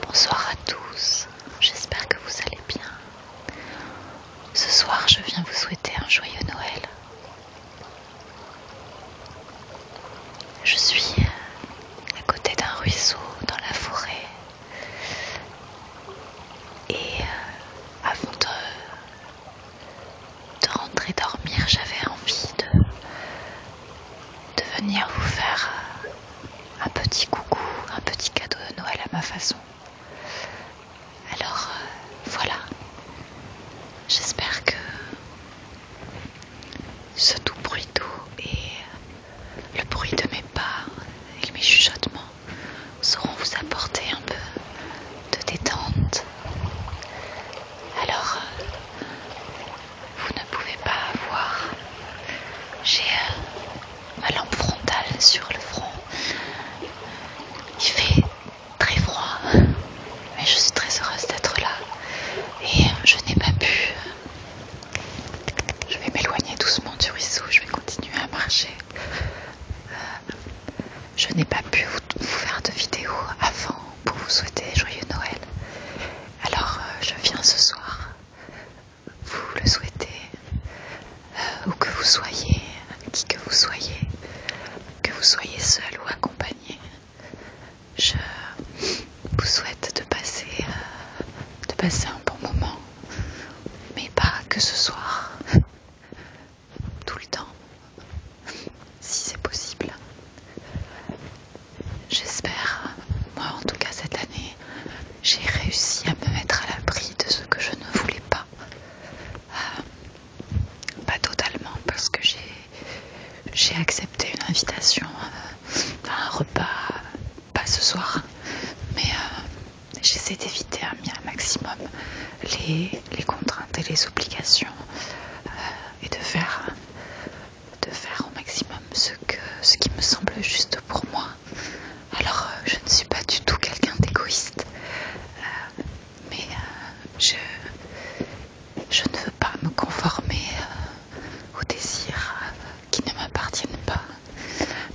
Bonsoir à tous, j'espère que vous allez bien. Ce soir, je viens vous souhaiter un joyeux Noël. Je suis euh, à côté d'un ruisseau dans la forêt et euh, avant de de rentrer dormir, j'avais envie de, venir vous faire un petit coucou, un petit cadeau de Noël à ma façon. Alors euh, voilà, j'espère que ce tout bruit d'eau et le bruit de mes pas et mes chuchotements sauront vous apporter un peu de détente alors, euh, vous ne pouvez pas voir. J'ai euh, ma lampe frontale sur le front. Il fait très froid, mais je suis très heureuse d'être là. Et euh, je n'ai pas pu. Je vais m'éloigner doucement du ruisseau, je vais continuer à marcher. Je n'ai pas pu vous, faire de vidéo avant pour vous souhaiter joyeux Noël. Alors euh, je viens ce soir vous le souhaitez euh, où que vous soyez, qui que vous soyez, que vous soyez seul ou accompagné. Je vous souhaite de passer, euh, de passer un bon moment, mais pas que ce soir, tout le temps, si c'est possible. J'espère, moi en tout cas cette année, j'ai réussi à me mettre à l'abri de ce que je ne voulais pas. Euh, pas totalement, parce que j'ai accepté une invitation euh, à un repas, pas ce soir, mais euh, j'essaie d'éviter un, un maximum les, contraintes et les obligations et de faire, de faire au maximum ce, qui me semble juste pour moi. Alors euh, je ne suis pas du tout quelqu'un d'égoïste, euh, mais euh, je, je ne veux pas me conformer aux désirs qui ne m'appartiennent pas.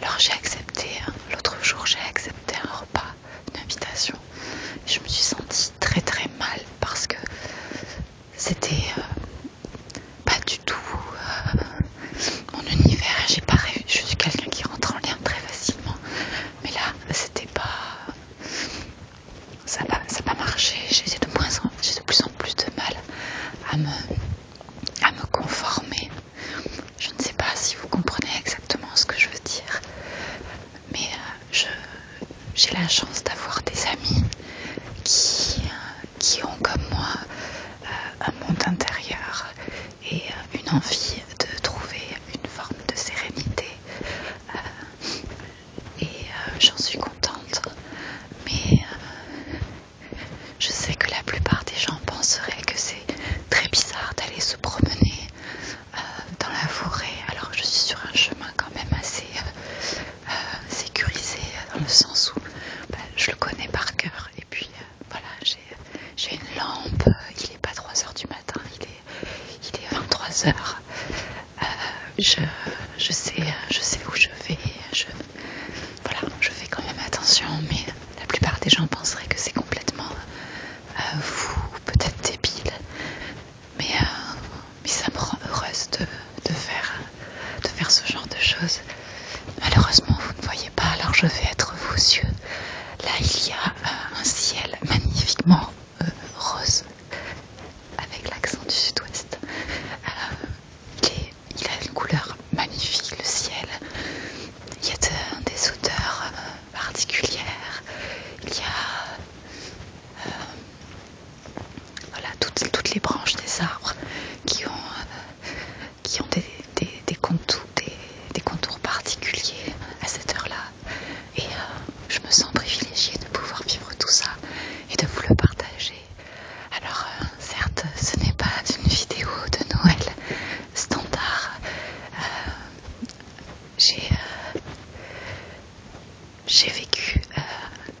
Alors j'ai accepté, hein, l'autre jour j'ai accepté un repas une invitation. Je me suis sentie très très mal parce que c'était euh, pas du tout euh, mon univers. J'ai pas réussi Je suis quelqu'un qui rentre en lien très facilement, mais là c'était pas. Ça n'a pas marché. J'ai de, moins en, de plus en plus de mal à me, à me conformer. Je ne sais pas si vous comprenez exactement ce que je veux dire mais euh, j'ai la chance d'avoir des amis qui, euh, ont comme moi euh, un monde intérieur et une envie de trouver une forme de sérénité et j'en suis contente mais je sais que la plupart des gens penseraient que c'est très bizarre d'aller se promener euh, dans la forêt. Alors je suis sur un chemin quand même assez euh, euh, sécurisé dans le sens où bah, je le connais par cœur. Et puis voilà, j'ai une lampe, il n'est pas 3h du matin, il est, il est 23h. je, je, sais, je sais où je vais. Je, voilà, je fais quand même attention, mais la plupart des gens penseraient que c'est complètement euh, vous, peut-être débile, euh, mais, ça me rend heureuse de, faire, de faire ce genre de choses. Malheureusement, vous ne voyez pas, alors je vais être vos yeux. Là, il y a euh, un ciel magnifiquement rose, avec l'accent du sud-ouest. il, a une couleur magnifique, le ciel. Il y a des odeurs particulière, il y a euh, voilà, toutes, les branches des arbres qui ont, euh, qui ont des, contours, particuliers à cette heure-là. Et euh, je me sens privilégiée de pouvoir vivre tout ça et de vous le partager. Alors certes, ce n'est pas une vidéo de Noël standard j'ai euh, j'ai vécu euh,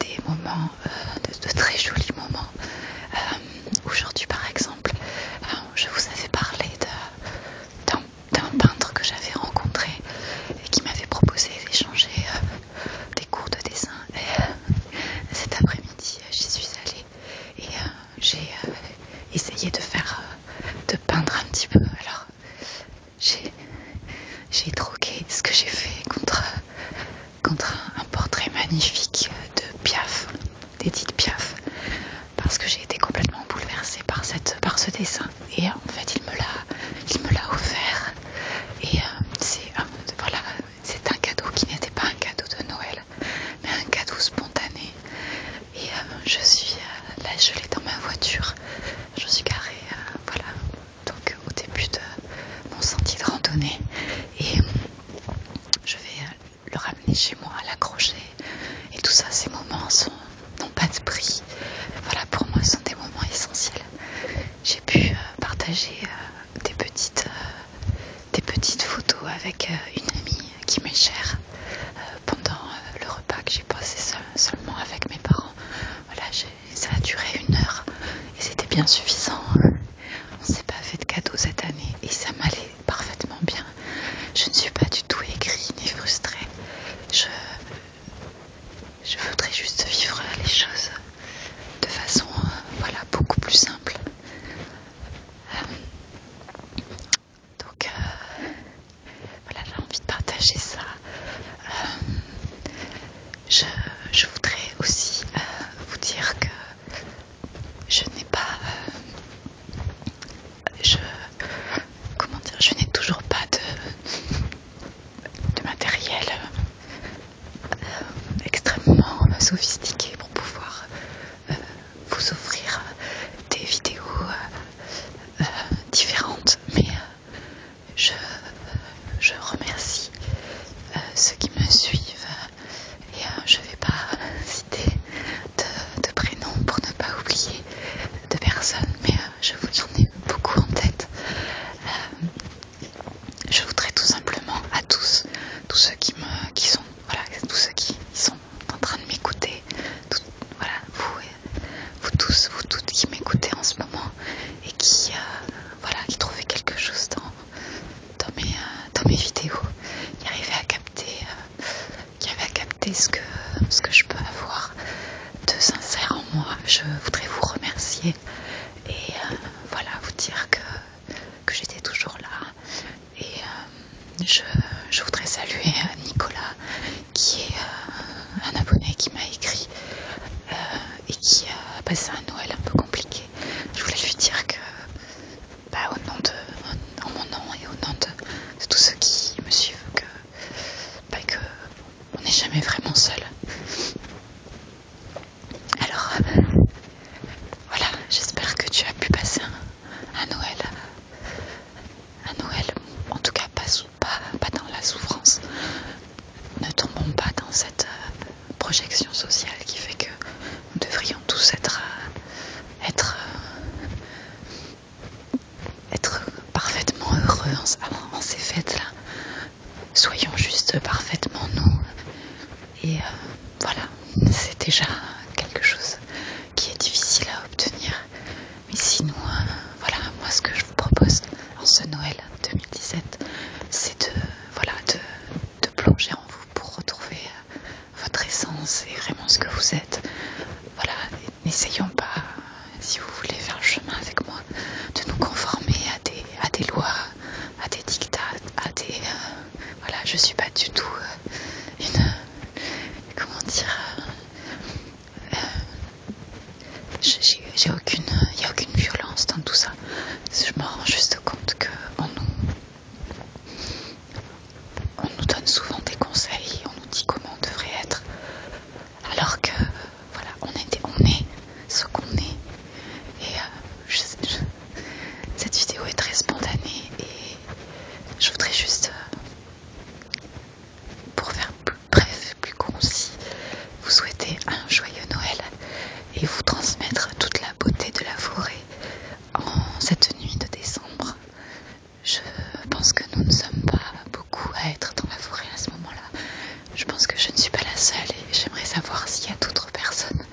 des moments, euh, de, très jolis moments. Aujourd'hui, par exemple, je vous avais parlé d'un peintre que j'avais rencontré et qui m'avait proposé d'échanger des cours de dessin. Et, cet après-midi, j'y suis allée et j'ai euh, essayé de faire, euh, de peindre un petit peu. Alors, j'ai troqué ce que j'ai fait contre, contre un, portrait magnifique de Piaf, d'Edith Piaf, parce que j'ai été complètement bouleversée par, cette, par ce dessin. Et euh, en fait, il me l'a offert. Et c'est un cadeau qui n'était pas un cadeau de Noël mais un cadeau spontané. Et euh, je suis euh, là, je l'ai dans ma voiture, je suis garée, euh, voilà, donc au début de mon sentier de randonnée. Et je vais le ramener chez moi, à l'accrocher. Et tout ça, ces moments n'ont pas de prix. Voilà, pour moi, sont des moments essentiels. J'ai pu partager des petites. des petites photos avec une amie qui m'est chère, pendant euh, le repas que j'ai passé seulement avec mes parents. Voilà, ça a duré une heure et c'était bien suffisant. Hein. On s'est pas fait de cadeaux cette année et ça m'allait parfaitement bien. Je ne suis pas du tout aigrie ni frustrée. Je, je voudrais juste vivre les choses de façon euh, voilà, beaucoup plus simple. Euh, donc euh, voilà, j'ai envie de partager ça. Euh, je, voudrais aussi euh, vous dire que je n'ai pas... je... Comment dire Je n'ai toujours pas de, matériel extrêmement sophistiqué pour pouvoir vous offrir euh, des vidéos euh, euh, différentes, mais je, remercie ceux qui me suivent et je je vais pas citer de, prénoms pour ne pas oublier de personnes, mais je vous en ai beaucoup en tête. je voudrais tout simplement à tous, tous ceux qui me qui sont voilà, tous ceux qui sont en train de m'écouter, voilà, vous, euh, vous tous, vous toutes qui m'écoutez en ce moment et qui, euh, voilà, qui trouvez quelque chose dans, dans, mes, euh, vidéos, qui arrivez à capter, qui à ce que, ce que je peux avoir de sincère en moi. Je voudrais vous remercier et voilà, vous dire que que j'étais toujours là. Et euh, je, voudrais saluer euh, Nicolas qui est euh, un abonné qui m'a écrit et qui a passé un Noël un peu compliqué. Je voulais lui dire que bah, en mon nom et au nom de, tous ceux qui me suivent, que, bah, que on n'est jamais vraiment seul. Alors, voilà, j'espère que tu as pu passer un, Noël. Un Noël, en tout cas pas, dans la souffrance. Ne tombons pas dans cette euh, projection sociale qui fait que nous devrions tous être, euh, euh, être, parfaitement heureux en ces fêtes-là. Soyons juste parfaitement nous. Et euh, voilà, c'est déjà quelque chose qui est difficile à obtenir. Mais sinon, euh, voilà, moi ce que je vous propose en ce Noël 2017, c'est de, voilà, de, plonger en vous pour retrouver euh, votre essence et vraiment ce que vous êtes. Voilà, n'essayons pas, si vous voulez faire le chemin avec moi, de nous conformer à des, à des lois à des dictats, à des... Euh, voilà, je suis pas du tout euh, une... comment dire euh, J'ai aucune... Il a aucune violence dans tout ça. Je me rends juste compte qu'on nous... On nous donne souvent des conseils, on nous dit comment on devrait être. Alors que, voilà, on est, on est ce qu'on est. Et cette vidéo est très spontanée et je voudrais juste, euh, pour faire plus bref, plus concis, vous souhaiter un joyeux Noël et vous transmettre toute la beauté de la forêt en cette nuit de décembre. Je pense que nous ne sommes pas beaucoup à être dans la forêt à ce moment-là. Je pense que je ne suis pas la seule et j'aimerais savoir s'il y a d'autres personnes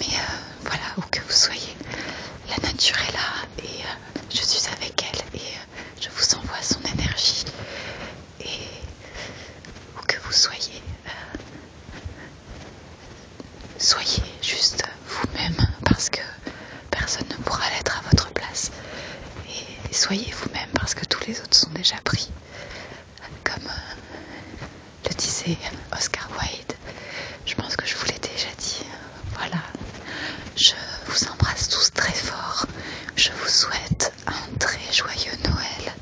mais euh, voilà, où que vous soyez, la nature est là et euh, je suis avec elle et euh, je vous envoie son énergie. Et où que vous soyez, soyez juste vous-même parce que personne ne pourra l'être à votre place. Et soyez vous-même parce que tous les autres sont déjà pris comme euh, le disait Oscar Wilde. Je pense que je vous l'ai déjà dit. Voilà. Je vous embrasse tous très fort. Je vous souhaite un très joyeux Noël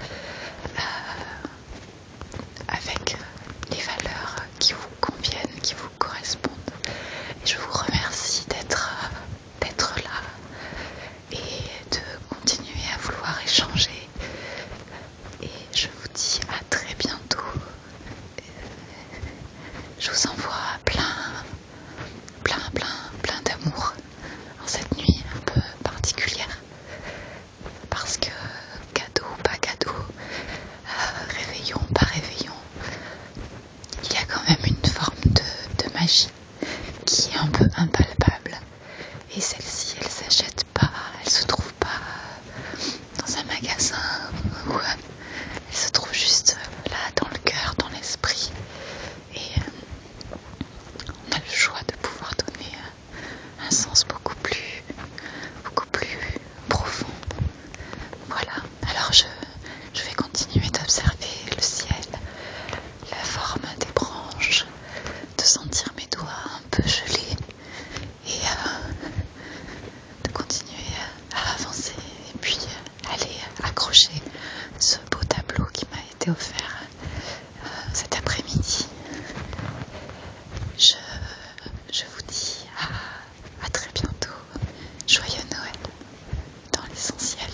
euh, avec les valeurs qui vous conviennent, qui vous correspondent. Et je vous remercie d'être là et de continuer à vouloir échanger et je vous dis à très bientôt. Euh, je vous envoie plein, plein, plein, plein d'amour en cette nuit un peu particulière. Parce que cadeau pas cadeau, euh, réveillon pas réveillon, il y a quand même une forme de magie qui est un peu impalpable et celle-ci, elle s'achète pas, elle se trouve pas dans un magasin elle se trouve juste là dans le cœur, dans l'esprit. Et euh, on a le choix de pouvoir donner euh, un sens beaucoup plus, beaucoup plus profond. Voilà, alors je vais continuer d'observer le ciel, la forme des branches, de sentir mes doigts un peu gelés et euh, de continuer euh, à avancer et puis euh, aller accrocher ce beau tableau qui m'a été offert cet après-midi. Je, vous dis à très bientôt. Joyeux Noël dans l'essentiel.